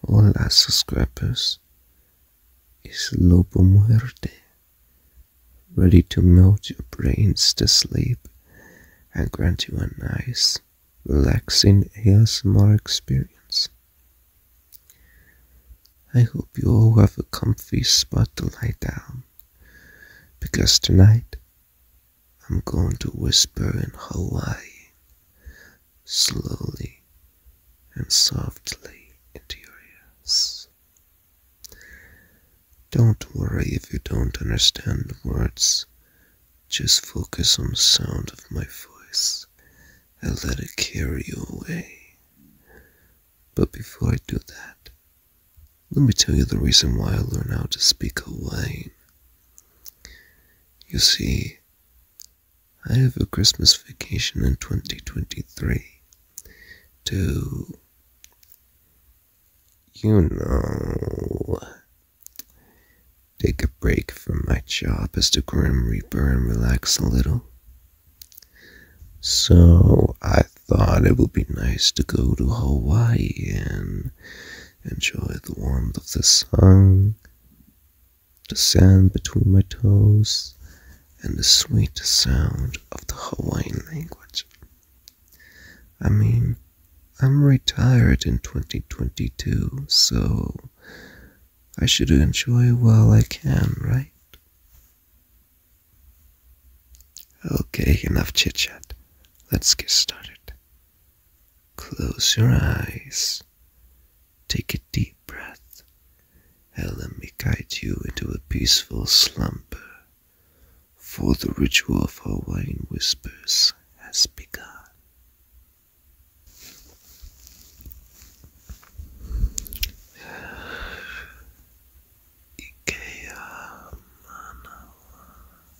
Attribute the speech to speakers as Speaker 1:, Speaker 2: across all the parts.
Speaker 1: Olá subscribers, Is Lobo Muerte, ready to melt your brains to sleep and grant you a nice, relaxing ASMR experience. I hope you all have a comfy spot to lie down, because tonight I'm going to whisper in Hawaii, slowly and softly into your ears. Don't worry if you don't understand the words. Just focus on the sound of my voice and let it carry you away. But before I do that, let me tell you the reason why I learned how to speak Hawaiian. You see, I have a Christmas vacation in 2023 to, you know, take a break from my job as the Grim Reaper and relax a little. So I thought it would be nice to go to Hawaii and enjoy the warmth of the sun, the sand between my toes, and the sweet sound of the Hawaiian language. I mean, I'm retired in 2022, so I should enjoy while I can, right? Okay, enough chit chat. Let's get started. Close your eyes. Take a deep breath and let me guide you into a peaceful slumber, for the ritual of Hawaiian whispers has begun. Ikea manawa.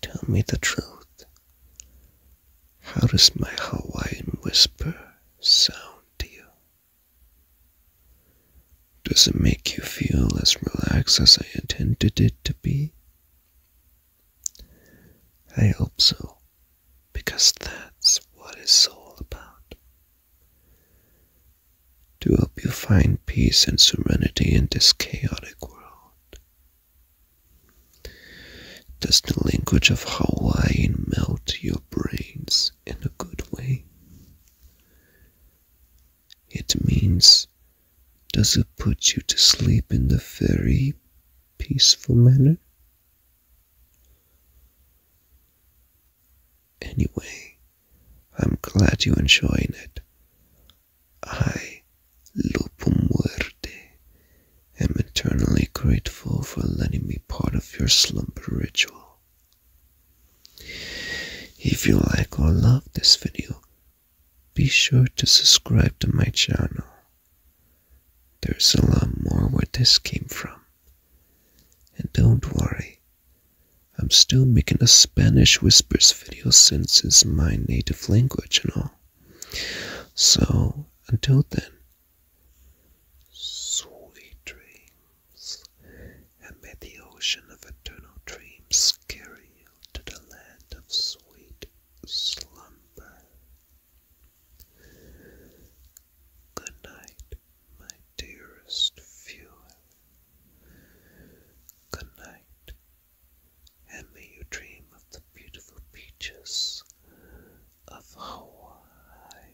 Speaker 1: Tell me the truth. How does my Hawaiian whisper sound to you? Does it make you feel as relaxed as I intended it to be? I hope so, because that's what it's all about. To help you find peace and serenity in this chaotic world. Does the language of Hawaiian melt your brains in a good way? It means does it put you to sleep in the very peaceful manner? Anyway, I'm glad you're enjoying it. I, Lupo um Muerte, am eternally grateful for letting me part of your slumber ritual. If you like or love this video, be sure to subscribe to my channel. There's a lot more where this came from. And don't worry, I'm still making a Spanish Whispers video since it's my native language and all. So, until then, sweet dreams, and may the ocean of eternal dreams carry you to the land of sweet slumber. Good night, my dearest viewer. Good night, and may you dream of the beautiful beaches of Hawaii.